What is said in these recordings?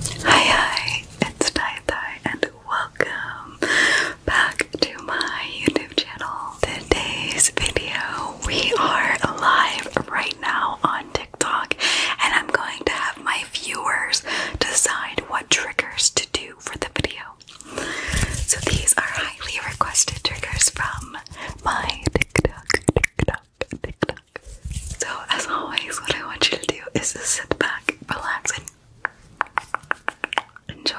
Hi hi, it's Tai Tai and welcome back to my YouTube channel. Today's video, we are live right now on TikTok and I'm going to have my viewers decide what triggers to do for the video. So these are highly requested triggers from my TikTok, so, as always, what I want you to do is just sit back, relax, and enjoy.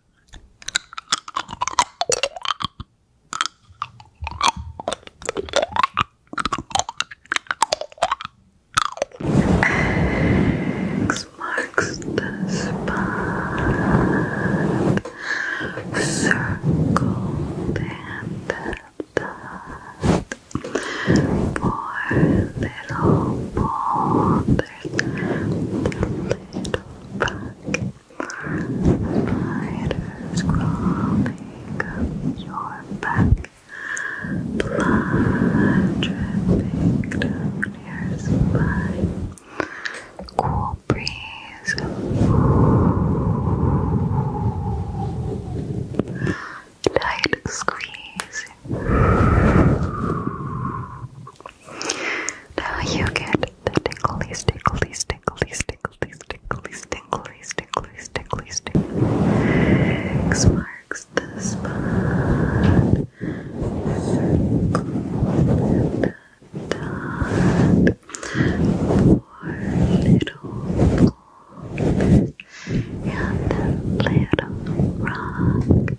X marks the spot circled and dot poor little boulders, the little Spiders crawling up your back. Blood dripping down your spine. Cool breeze. Tight squeeze. Now you get the ticklies, ticklies, ticklies, ticklies, ticklies, ticklies, ticklies, ticklies, ticklies. Marks the spot. Circle the Four little and a little rock.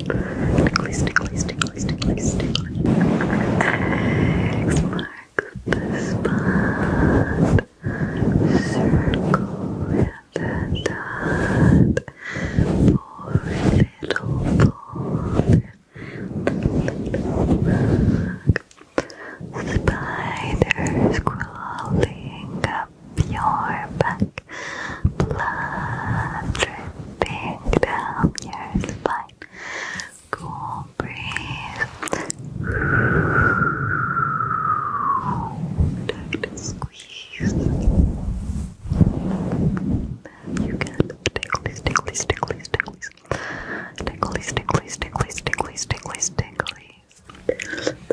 Ticklies, ticklies, ticklies, ticklies, ticklies. X marks the spot. Circle and a dot. Poor little bug. Little bug. Spiders crawling your back, blood dripping down your spine. Cool breeze. Try to squeeze. You can ticklies, ticklies, ticklies, ticklies. Ticklies, ticklies, ticklies, ticklies, ticklies, ticklies.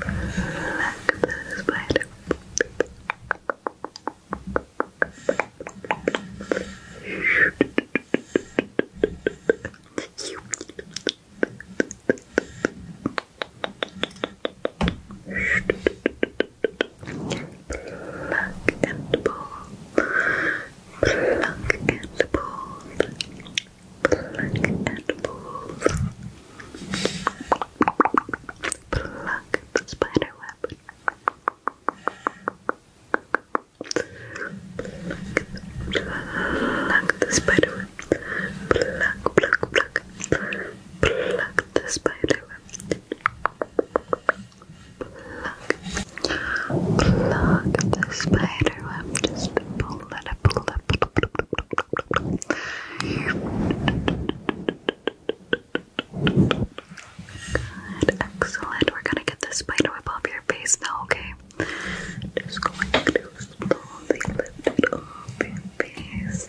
Back the spider. Pluck and pull, pluck and pull, Pluck and pull. Pluck the spider web. Pluck the spider Pluck, pluck, pluck. the spider web. Pluck. Pluck the spider web. Just pull it, pull it, Good, excellent. We're gonna get this spider whip off your face now, okay? Just going to slowly lift it off your face.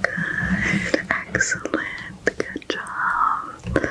Good, excellent. Good job.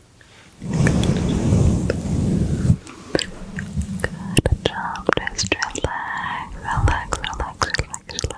Good job, just relax, relax, relax, relax, relax. Good.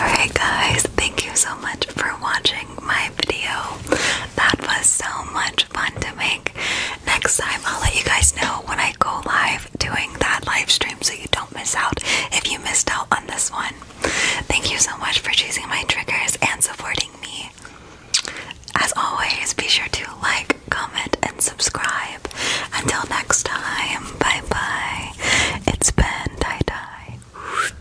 Alright guys, thank you so much for watching my video. That was so much fun to make. Next time, I'll let you guys know when I go live doing that live stream so you don't miss out if you missed out on this one. Thank you so much for choosing my triggers and supporting me. As always, be sure to like, comment, and subscribe. Until next time, bye bye. It's been tie